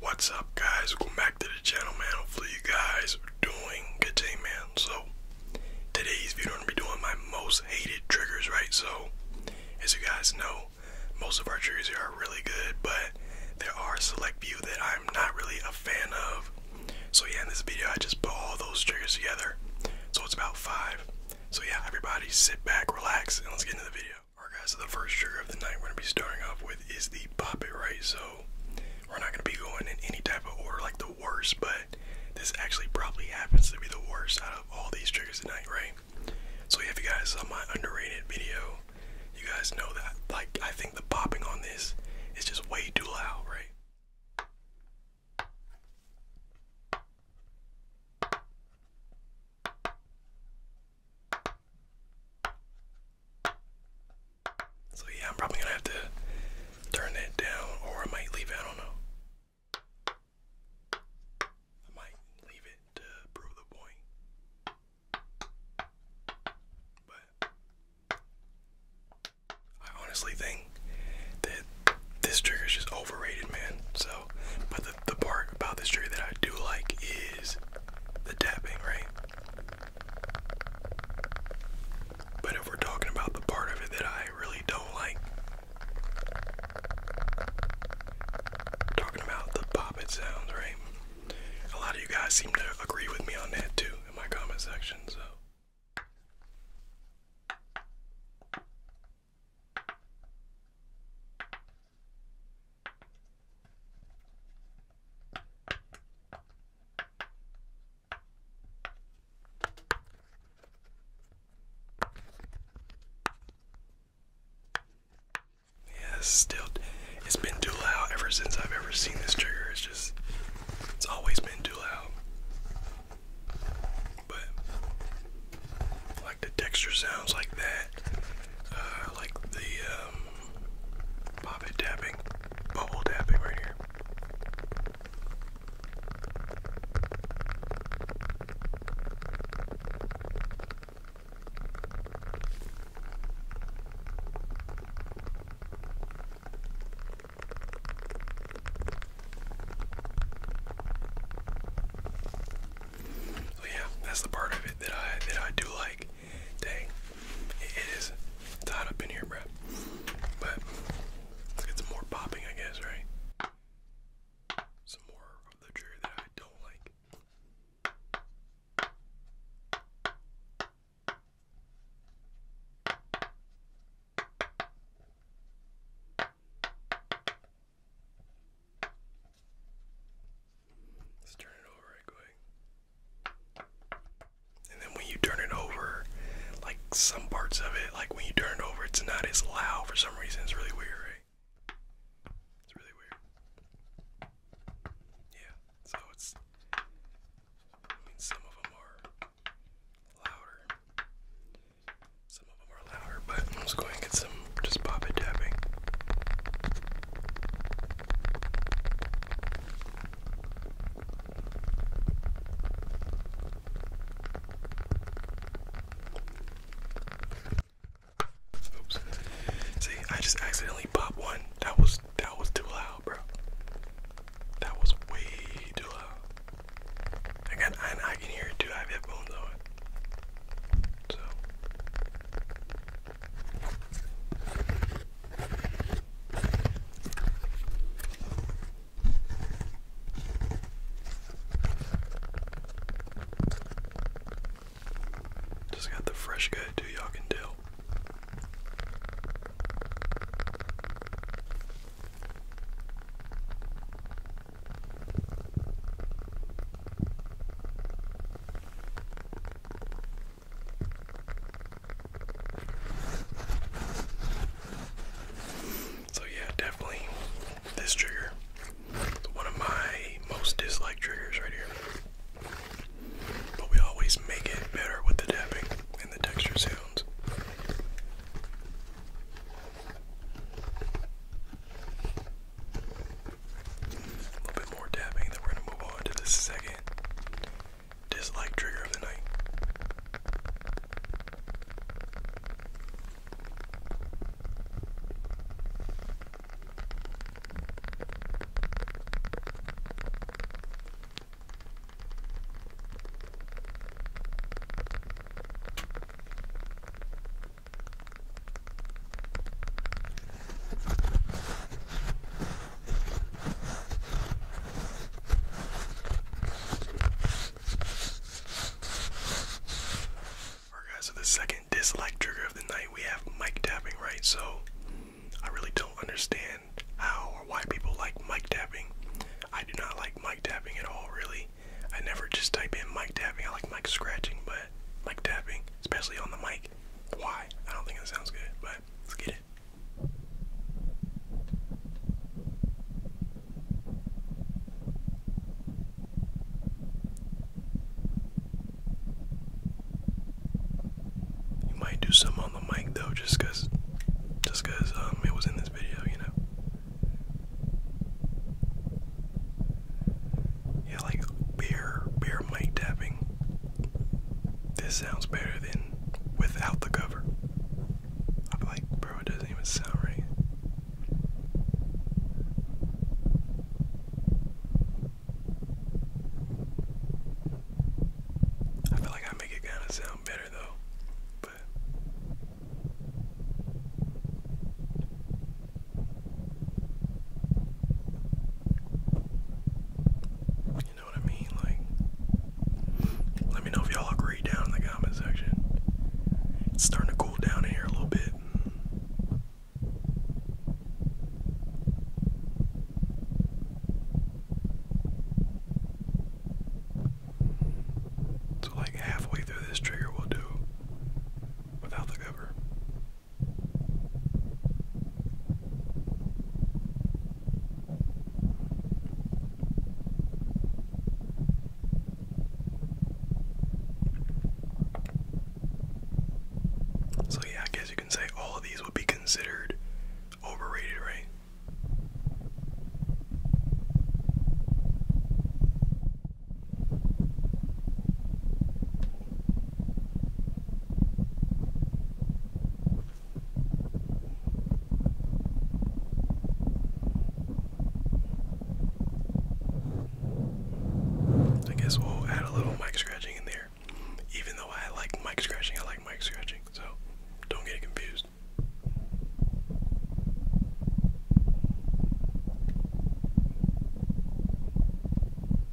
What's up guys, welcome back to the channel man, hopefully you guys are doing good today man. So, today's video I'm going to be doing my most hated triggers, right? So, as you guys know, most of our triggers are really good, but there are select few that I'm not really a fan of. So yeah, in this video I just put all those triggers together, so it's about five. So yeah, everybody sit back, relax, and let's get into the video. Alright guys, so the first trigger of the night we're gonna be starting off with is the pop it right. So we're not gonna be going in any type of order like the worst, but this actually probably happens to be the worst out of all these triggers tonight, right? So if you guys saw my underrated video, you guys know that like I think the popping on this is just way too loud, right? So yeah, I'm probably gonna have to turn that down or I might leave I don't know. I might leave it to prove the point. But I honestly think that this trigger is just overrated, man. So, but the, the part about this trigger that I do like is the tapping, right? But if we're talking about the part of it that I really don't like, talking about the poppet sounds, right? A lot of you guys seem to agree with me on that too in my comment section, so. Yeah, still it's been too loud ever since I've ever seen this trigger. It's just it's always been too loud. But like the texture sounds like that. Uh, like the um, poppet bubble tapping right here. So yeah, that's the part of it that I that I do like. Dang, it is. tied up in here, bro. But let's get some more popping, I guess, right? Some more of the trigger that I don't like. Let's turn it over right quick. And then when you turn it over, like some parts of it, like when you turn it over, it's not as loud for some reason. It's really weird, right? It's really weird. Yeah, so it's. I mean, some of them are louder. Some of them are louder, but I'm just going to get some just pop it tapping. Oops. See, I just accidentally popped one. That was that was too loud, bro. That was way too loud. I I can hear it too. I have headphones on. So just got the fresh guy too, y'all can tell. So yeah, definitely this trigger. One of my most disliked triggers right here. But we always make it better with the tapping and the texture sounds. A little bit more tapping, then we're gonna move on to the second Dislike trigger of the night guys, so the second dislike trigger of the night we have mic tapping, right? So I really don't understand how or why people like mic tapping. I do not like mic tapping at all, really. I never just type in mic tapping. I like mic scratching, but mic tapping, especially on the mic. Why? I don't think it sounds good, but let's get it. You might do some on the mic though, just cause, um, it was in this video, you know. Yeah, like bear, bear mic tapping this sounds better than without the cover. I'd like, bro, it doesn't even sound right. I feel like I make it kind of sound better though, but know what I mean? Like, let me know if y'all agree down in the comment section. It's starting to cool down in here a little bit. So, like, halfway through this trigger, we'll do without the cover. So yeah, I guess you can say all of these would be considered overrated, right? I guess we'll add a little mic scratching in there. Even though I like mic scratching, I like mic scratching, so don't get confused.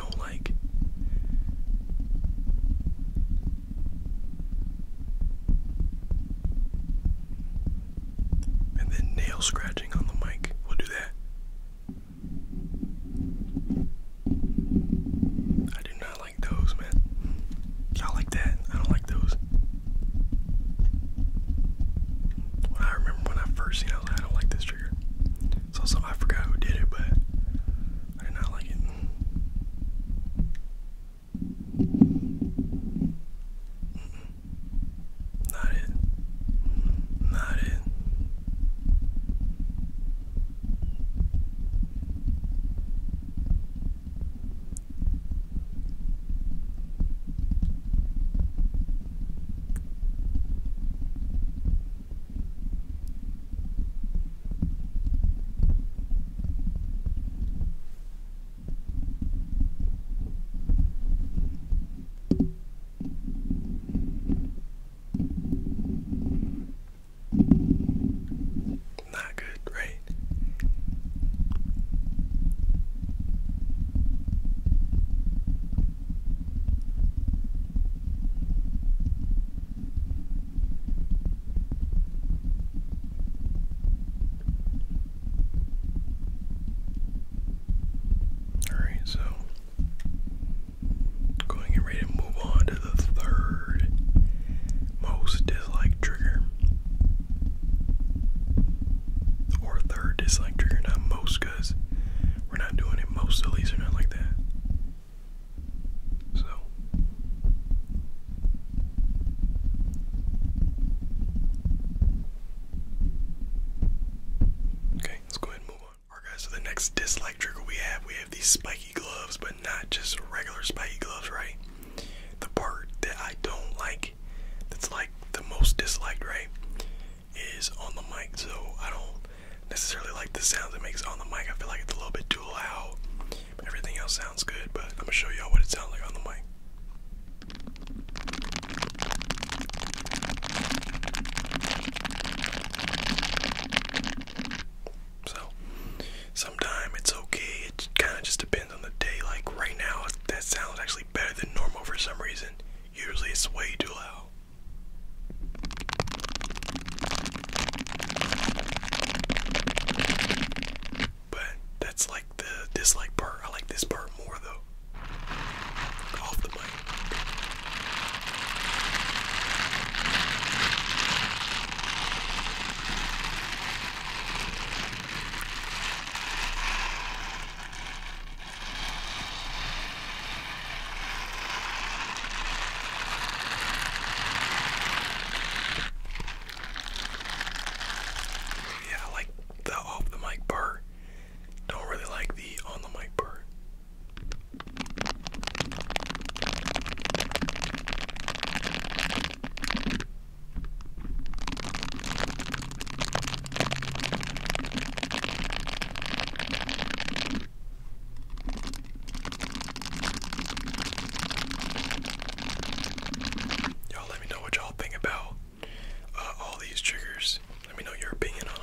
don't like. And then nail scratching on the mic. We'll do that. I do not like those, man. Y'all like that? I don't like those. I remember when I first seen I was like, I don't like this trigger. It's also I forgot who did it, but I did not like it. Not it. Not it. Not good, right? Alright, so going and ready to move on to the third most disliked trigger. Or third dislike trigger, not most, because we're not doing it most, at least, we're not like that. So Okay, let's go ahead and move on. guys, so the next dislike trigger we have, we have these spiky gloves, but not just regular spiky gloves, right? The part that I don't like that's like the most disliked, right? Is on the mic, so I don't necessarily like the sounds it makes on the mic. I feel like it's a little bit too loud. Everything else sounds good, but I'm gonna show y'all what it sounds like on the mic. So, sometime it's okay. It kind of just depends on the day. Like right now, that sounds actually better than normal for some reason. Usually, it's way too loud. But that's like the dislike part. I like this part more though. Off the mic. Yeah, I like the off the mic part. Don't really like the on the mic part. Y'all let me know what y'all think about uh, all these triggers. Let me know your opinion on them.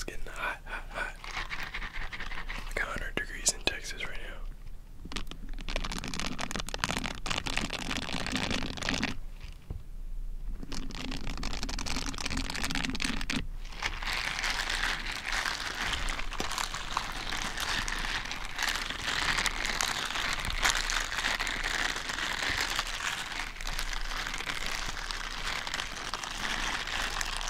It's getting hot, hot, hot. Like 100 degrees in Texas right now.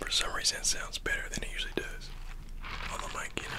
For some reason, it sounds better than it usually does on the mic, you know.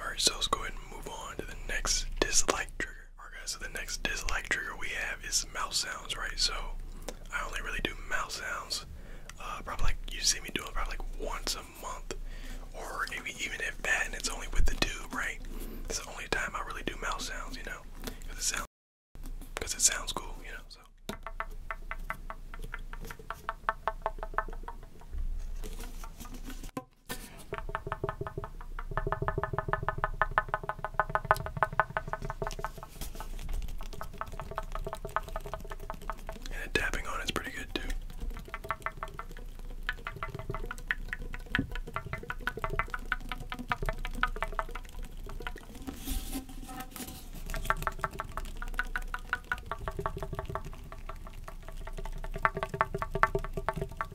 Alright, so let's go ahead and move on to the next dislike trigger. Alright guys, so the next dislike trigger we have is mouse sounds, right? So I only really do mouse sounds. Uh, probably like you see me doing probably like once a month, or maybe even if that, and it's only with the tube, right? It's the only time I really do mouse sounds, you know, because it sounds, because it sounds cool, you know. So. And the tapping on is pretty good too.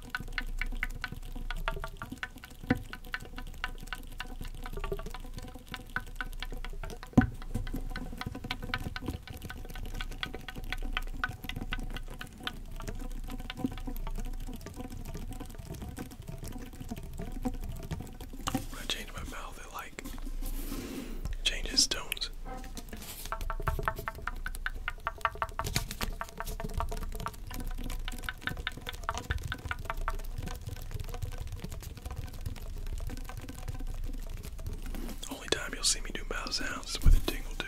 When I change my mouth, it like changes tones. Only time you'll see me do bow sounds with a tingle too.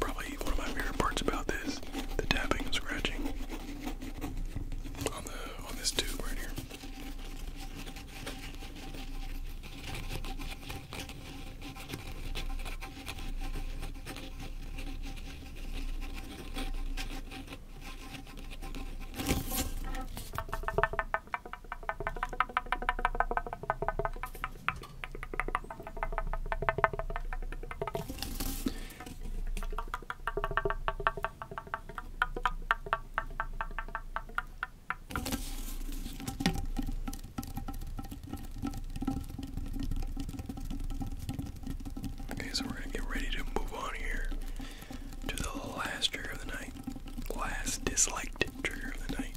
Probably one of my favorite parts about this, the tapping and scratching on the on this tube right here. Okay, so we're going to get ready to move on here to the last trigger of the night. Last disliked trigger of the night.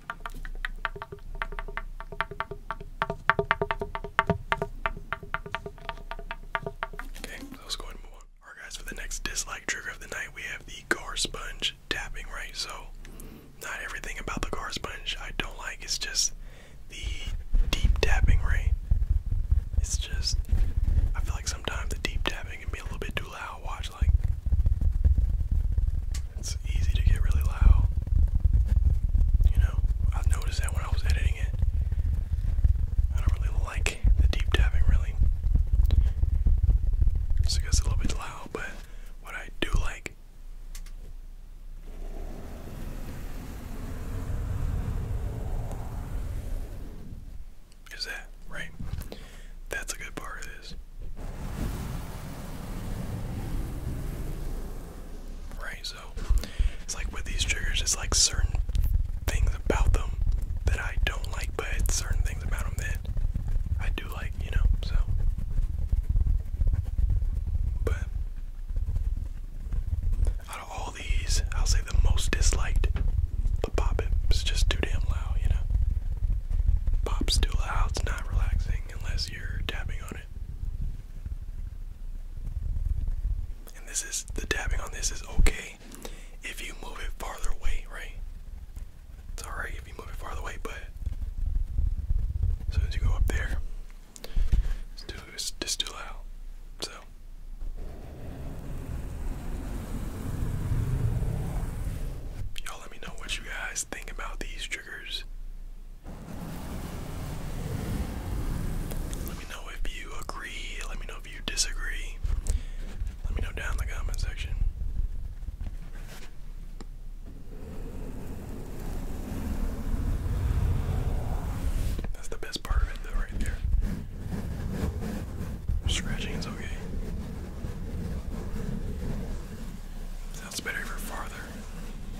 Okay, so let's go ahead guys, for the next dislike trigger of the night, we have the gar sponge tapping, right? So, not everything about the gar sponge I don't like, it's just the deep tapping, right? It's just, I feel like sometimes the deep tapping can be a little bit too loud. Watch, like, it's easy to get really loud. You know, I noticed that when I was editing it. I don't really like the deep tapping, really. So I guess a little bit loud, but what I do like. Is that right? That's a good part of this. Right, so it's like with these triggers, it's like certain things about them that I don't like, but certain things about them that I do like, you know, so. But out of all these, I'll say the most disliked, the pop it. It's just too damn loud, you know. Pop's too loud, it's not relaxing unless you're tapping on and this is the tapping on this is okay if you move it farther away, right? It's alright if you move it farther away, but as soon as you go up there, it's too loud. So y'all let me know what you guys think about these triggers. Let me know if you agree. Let me know if you disagree. Let me know down in the comment section. That's the best part of it, though, right there. Scratching is okay. Sounds better for farther.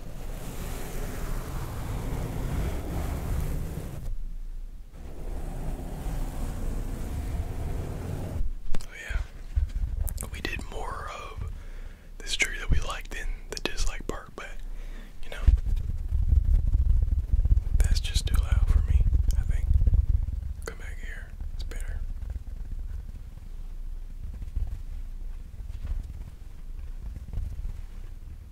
Oh, yeah, we did more of this tree that we liked than the dislike part, but you know, that's just too loud for me, I think. Come back here, it's better.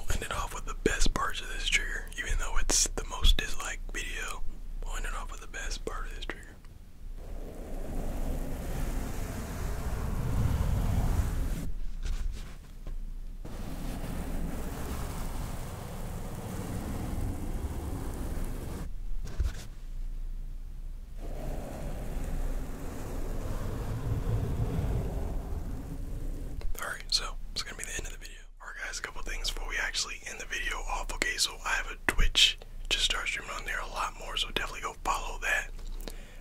We'll end it off with the best parts of this trigger, even though it's the most disliked video. We'll end it off with the best part of this trigger. Alright, so it's gonna be the end of the video. Alright, guys, a couple things before we actually end the video off. Okay, so I have a Twitch, just start streaming on there a lot more, so definitely go follow that.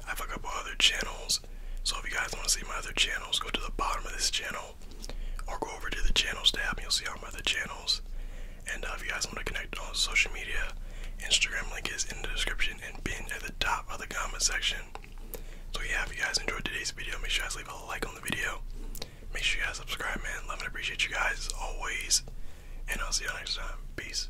I have a couple other channels. So if you guys want to see my other channels, go to the bottom of this channel or go over to the channels tab and you'll see all my other channels. And uh, if you guys want to connect on social media, Instagram link is in the description and pinned at the top of the comment section. So yeah, if you guys enjoyed today's video, make sure you guys leave a like on the video. Make sure you guys subscribe, man. Love and appreciate you guys as always. And I'll see y'all next time. Peace.